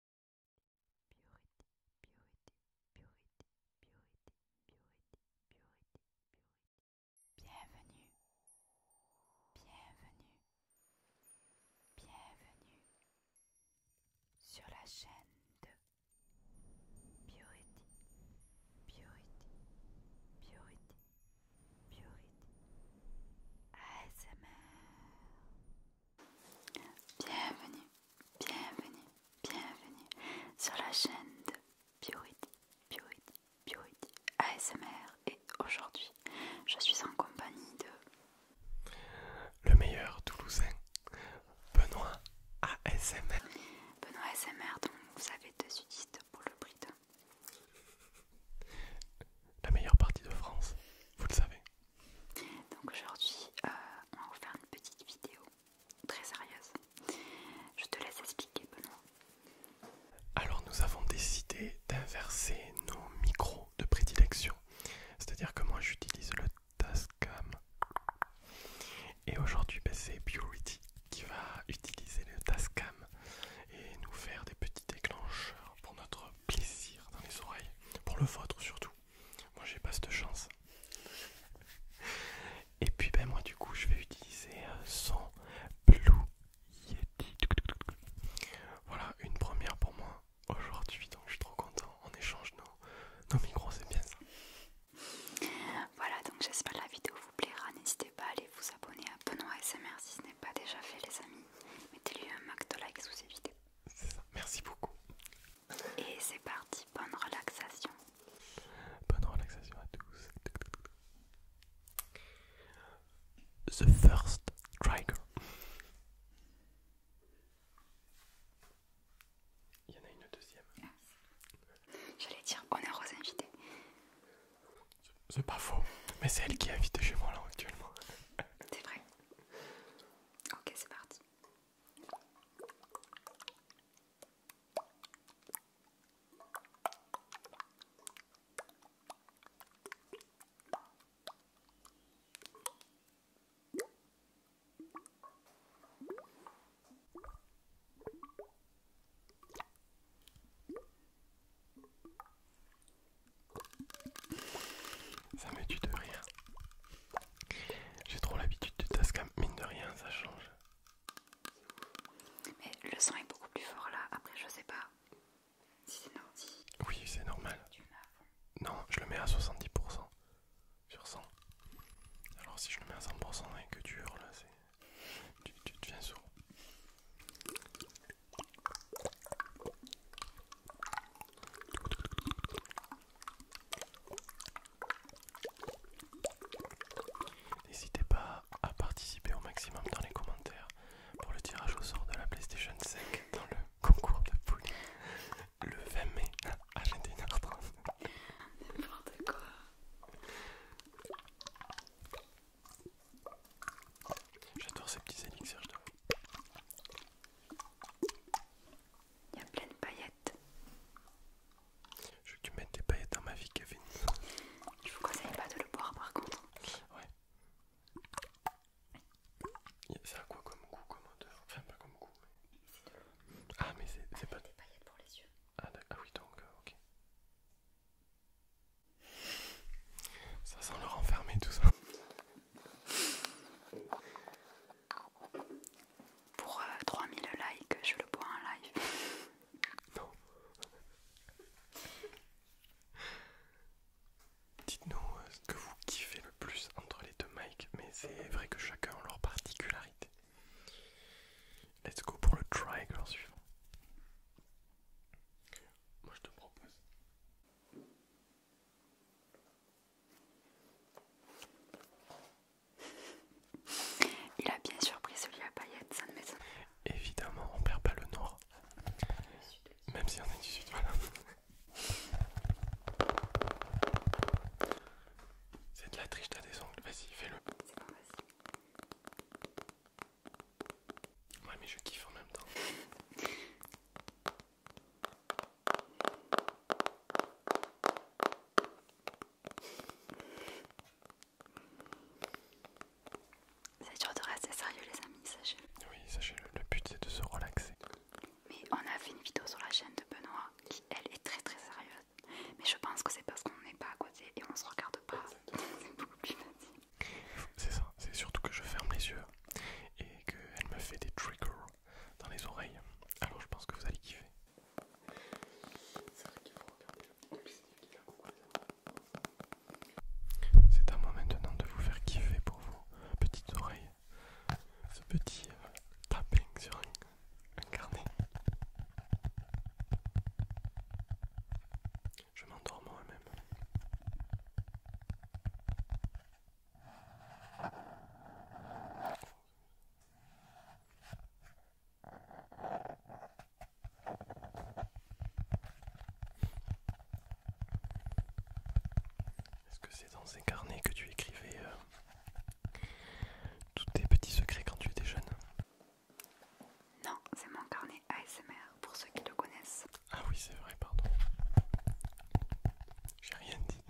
Purity, purity, purity, purity, purity, purity, purity. Bienvenue, bienvenue, bienvenue sur la chaîne de Purity, purity, purity, purity. ASMR. Bienvenue, bienvenue, bienvenue sur la chaîne de Biorhythme, Piority, ASMR et aujourd'hui je suis en compagnie de le meilleur toulousain, Benoît ASMR. Benoît ASMR donc vous savez de sudiste pour le prix La meilleure partie de France, vous le savez. Donc aujourd'hui, euh, on va vous faire une petite vidéo très sérieuse. Je te laisse expliquer, Benoît. Alors nous avons décidé d'inverser nos micros de prédilection. C'est-à-dire que moi j'utilise le Tascam. Et aujourd'hui, ben, c'est Beauty qui va utiliser le Tascam et nous faire des petits déclencheurs pour notre plaisir dans les oreilles, pour le vôtre surtout. Moi j'ai pas cette chance. Et puis ben moi du coup je vais utiliser euh, son Blue Yeti. Voilà une première pour moi aujourd'hui donc je suis trop content. On échange nos, micros, c'est bien ça. Voilà donc j'espère la vidéo vous plaira. N'hésitez pas à aller vous abonner à Benoît SMR si ce n'est pas déjà fait les amis. Mettez-lui un max de likes sous ces vidéos. C'est ça, merci beaucoup. Et c'est parti, bonne relaxation. Bonne relaxation à tous. The first trigger. Il y en a une deuxième. J'allais dire honneur aux invités. C'est pas faux, mais c'est elle qui invite chez moi là actuellement. C'est vrai. Ok, c'est parti. Ça me tue de rien. J'ai trop l'habitude de Tascam, mine de rien, ça change. Mais le son est beaucoup plus fort là, après je sais pas si c'est normal. Oui, c'est normal. non, je le mets à 70% sur 100. Alors si je le mets à 100% et que tu hurles, tu, tu deviens sourd. N'hésitez pas à participer au maximum dans les commentaires pour le tirage au sort de la PlayStation 5 dans le concours de poule le 20 mai à 21h30. N'importe quoi. J'adore ces petits élixirs, je il y a plein de paillettes. Je veux que tu mettes des paillettes dans ma vie, Kevin. Je vous conseille pas de le boire par contre. Ouais. C'est à quoi comme goût, comme odeur Enfin, pas comme goût. ah, mais c'est pas. Des paillettes pour les yeux. Ah, ah oui, donc, euh, ok. Ça sent le renfermer tout ça. Pour 3000 euh, likes, je le bois en live. Non. Dites-nous euh, ce que vous kiffez le plus entre les deux mics, mais c'est vrai que chacun a leur particularité. Let's go pour le try triangle suivant. Moi je te propose. Il a bien surpris celui à paillettes, ça ne m'étonne pas. Évidemment, on perd pas le nord. Même si on est du sud, voilà. C'est de la triche, t'as des ongles. Vas-y, fais-le. Ouais mais je kiffe en même temps. C'est dur de rester sérieux les amis, sachez Oui, sachez-le, le but c'est de se relaxer. Mais on a fait une vidéo sur la chaîne de Benoît qui elle est très très sérieuse. Mais je pense que c'est parce qu'on n'est pas à côté et on se regarde pas. C'est beaucoup plus facile. C'est ça, c'est surtout que je ferme les yeux et qu'elle me fait des triggers dans les oreilles. Alors je pense que vous allez kiffer. C'est à moi maintenant de vous faire kiffer pour vos petites oreilles. Ce petit euh, tapping sur un carnet. Je m'endors moi-même. Est-ce que c'est dans ces carnets que tu écrivais euh, tous tes petits secrets quand tu étais jeune Non, c'est mon carnet ASMR pour ceux qui le connaissent. Ah oui, c'est vrai, pardon. J'ai rien dit.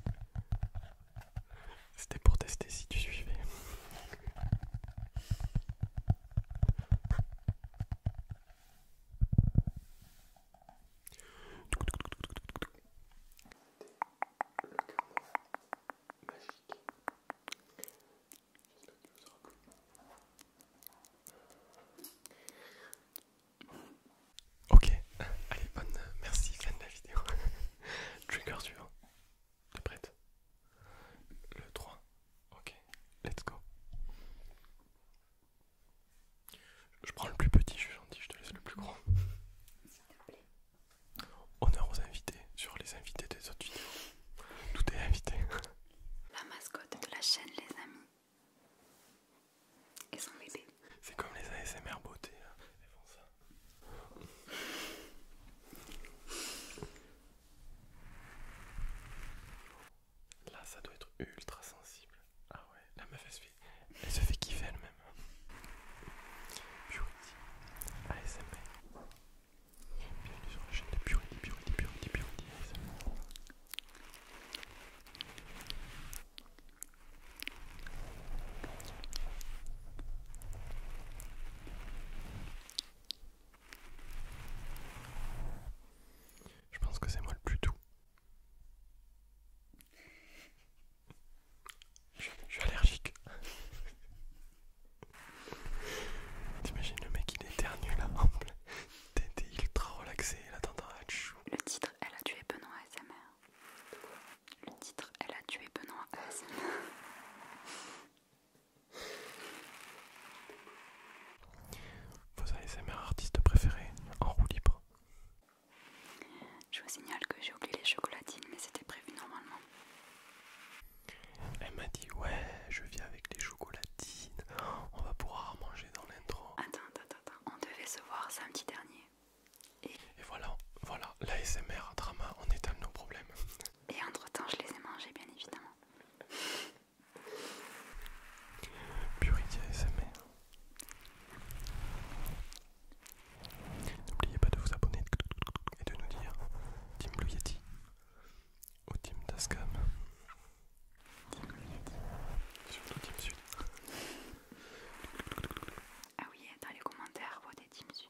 C'était pour tester si tu suivais. magique. J'espère Ok, allez, bonne. Merci, fin de la vidéo. Trigger suivant. T'es prête Le 3. Ok, let's go. Je prends le plus petit, je suis gentil, je te laisse le plus gros. S'il plaît. Honneur aux invités, sur les invités des autres vidéos. Tout est invité. La mascotte de la chaîne, les amis. ils sont bébé. C'est comme les ASMR beauté, hein. elles font ça. Là, ça doit être ultra sensible. Ah ouais, la meuf elle se fait, elle se fait kiffer elle-même. Beauty ASMR. Bienvenue sur la chaîne de Purity, Purity, Purity, Purity Je pense que c'est moi le plus doux. Je, je suis allergique. T'imagines le mec il ternu là en est ultra relaxé, là chou. Le titre Elle a tué Benoît ASMR. Le titre Elle a tué Benoît ASMR. Vos ASMR artistes préférés en roue libre. Je vous signale que j'ai oublié les chocolatines, mais c'était prévu normalement. Elle m'a dit ouais, je viens avec les chocolatines, on va pouvoir manger dans l'intro. Attends, attends, attends, on devait se voir samedi dernier. Et, voilà, voilà, la SMR drama, on éteint nos problèmes. Et entre temps, je les ai mangés, bien évidemment. Purity SMR. N'oubliez pas de vous abonner et de nous dire Team Blue Yeti au team Tascam. Surtout Team Sud. Ah oui, dans les commentaires, des Team Sud.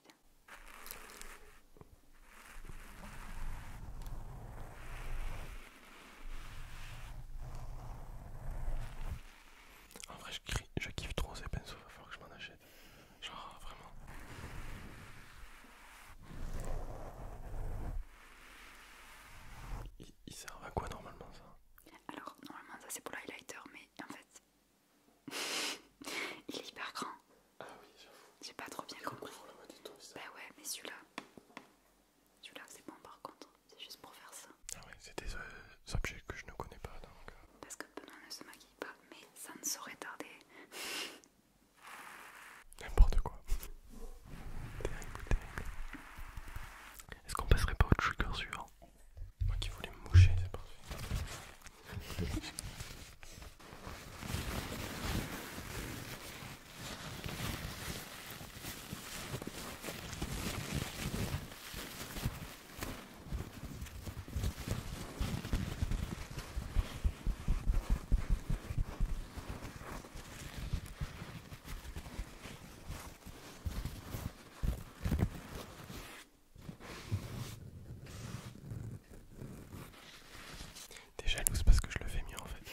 En vrai, je, je kiffe trop ces pinceaux, il va falloir que je m'en achète. Genre vraiment. Ils il servent à quoi normalement ça Alors normalement ça c'est pour l'highlighter, mais en fait il est hyper grand. Ah oui J'ai pas trop bien compris. Tout, bah ouais mais celui-là. Celui-là c'est bon par contre. C'est juste pour faire ça. Ah ouais c'est des euh, objets que je ne connais pas donc. Euh. Parce que Benoît ne se maquille pas mais ça ne saurait tarder. N'importe quoi. terrible, terrible. Est-ce qu'on passerait pas au trigger suivant Moi qui voulais me moucher, c'est parfait. T'es jalouse parce que je le fais mieux en fait.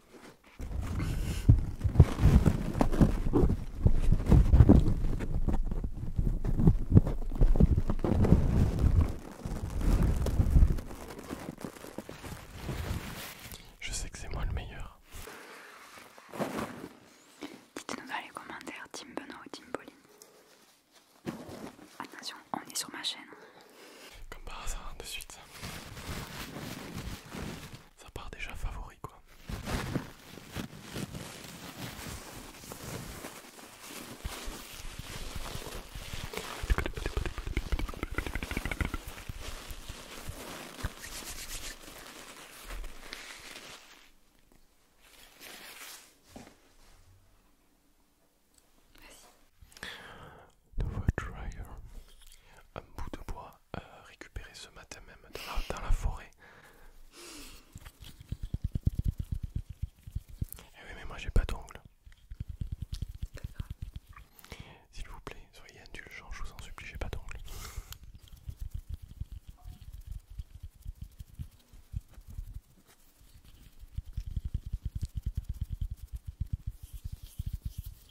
Je sais que c'est moi le meilleur. Dites-nous dans les commentaires, Tim Benoît ou Tim Pauline. Attention, on est sur ma chaîne. Comme par hasard, de suite. Ça part déjà favori, quoi un bout de bois euh, récupéré ce matin même dans la, forêt. Eh oui mais moi j'ai pas d'ongles. S'il vous plaît, soyez indulgents, je vous en supplie, j'ai pas d'ongles.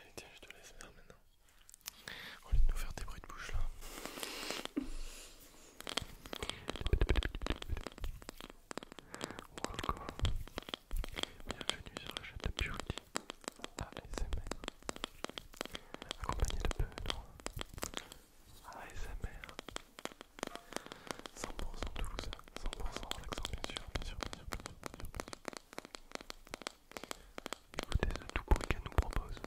Allez, tiens, je te laisse faire maintenant. Au lieu de nous faire des bruits de bouche là. Bienvenue sur la chaîne de c'est ASMR. Accompagné de peu de ASMR. 100% Toulousain, 100% bien sûr, bien sûr, bien sûr, tout bruit qu'elle nous propose.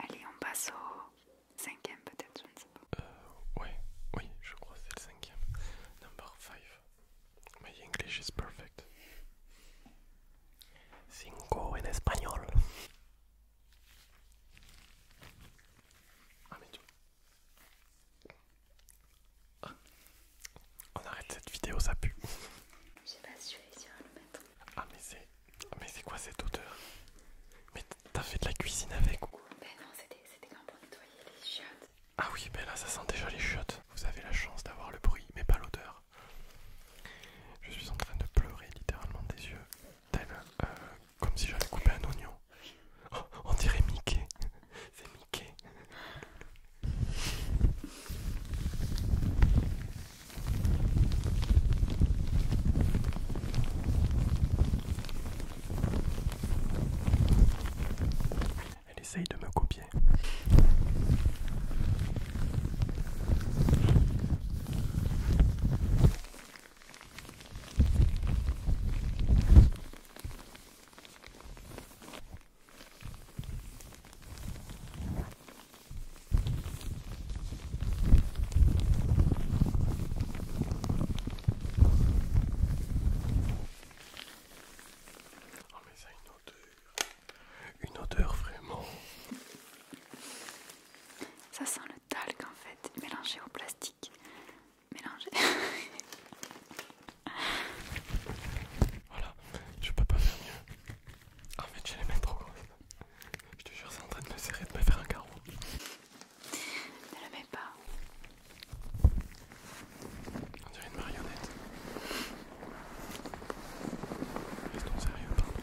Allez, on passe au cinquième peut-être, je ne sais pas. Euh, ouais, oui, je crois que c'est le cinquième. Number five. My English is perfect. Cinco en espagnol. Ah mais tu... On arrête cette vidéo, ça pue. Je sais pas si je vais essayer le mettre. Ah mais c'est... Mais c'est quoi cette odeur Mais t'as fait de la cuisine avec ou Ben non, c'était quand pour nettoyer les chiottes. Ah oui, mais ben là ça sent déjà les chiottes. Vous avez la chance d'avoir le bruit, mais pas l'odeur. Je suis en train de pleurer littéralement des yeux. T'as comme si j'avais coupé un oignon. Oh, on dirait Mickey. C'est Mickey. Elle essaye de me copier. Oh mais ça une odeur, une odeur vraiment. Ça sent talc en fait, mélangé au plastique. Mélangé. voilà, je peux pas faire mieux. En fait, j'ai les mains trop grosses. Je te jure, c'est en train de me serrer, de me faire un carreau. Ne le mets pas. On dirait une marionnette. Restons sérieux, pardon.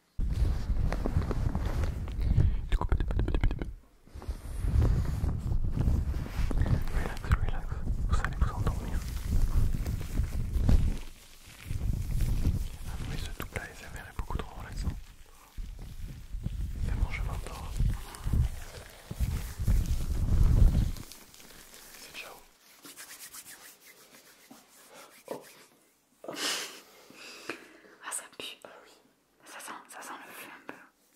Relax, relax, vous allez vous endormir. Ah mais ce double il est beaucoup trop relaxant. je m'endors. C'est ciao. Ah, ça pue. oui. Ça sent, le feu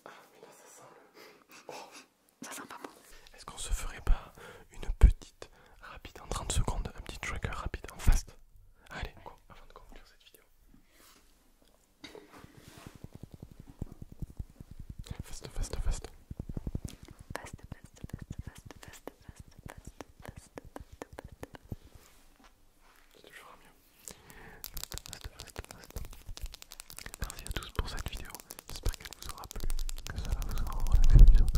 Ah ça sent le. Ça sent pas bon. Est-ce qu'on se ferait pas une petite rapide en 30 secondes, un petit tracker rapide en fast Allez, avant de conclure cette vidéo. fast. Fast, fast, fast, fast, fast, fast, fast, fast, fast, fast, fast. C'est toujours Merci à tous pour cette vidéo. J'espère qu'elle vous aura plu, que ça vous aura relaxé, que vous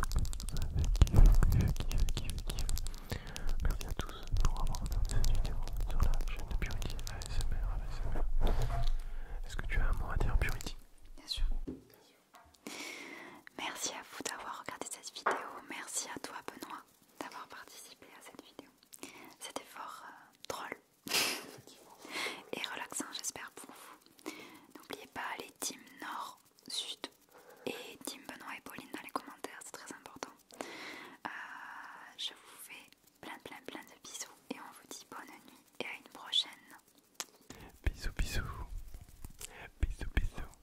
Merci à tous pour avoir regardé cette vidéo sur la chaîne de Purity ASMR. Est-ce que tu as un mot à dire, Purity Bien sûr. Merci à vous d'avoir regardé cette vidéo. Merci à toi, Benoît, d'avoir participé à cette vidéo. C'était fort euh, drôle et relaxant, j'espère pour vous. N'oubliez pas les team Nord, Sud et team Benoît et Pauline dans les commentaires, c'est très important. Euh, je vous fais plein plein plein de bisous et on vous dit bonne nuit et à une prochaine. Bisous bisous. Bisous bisous.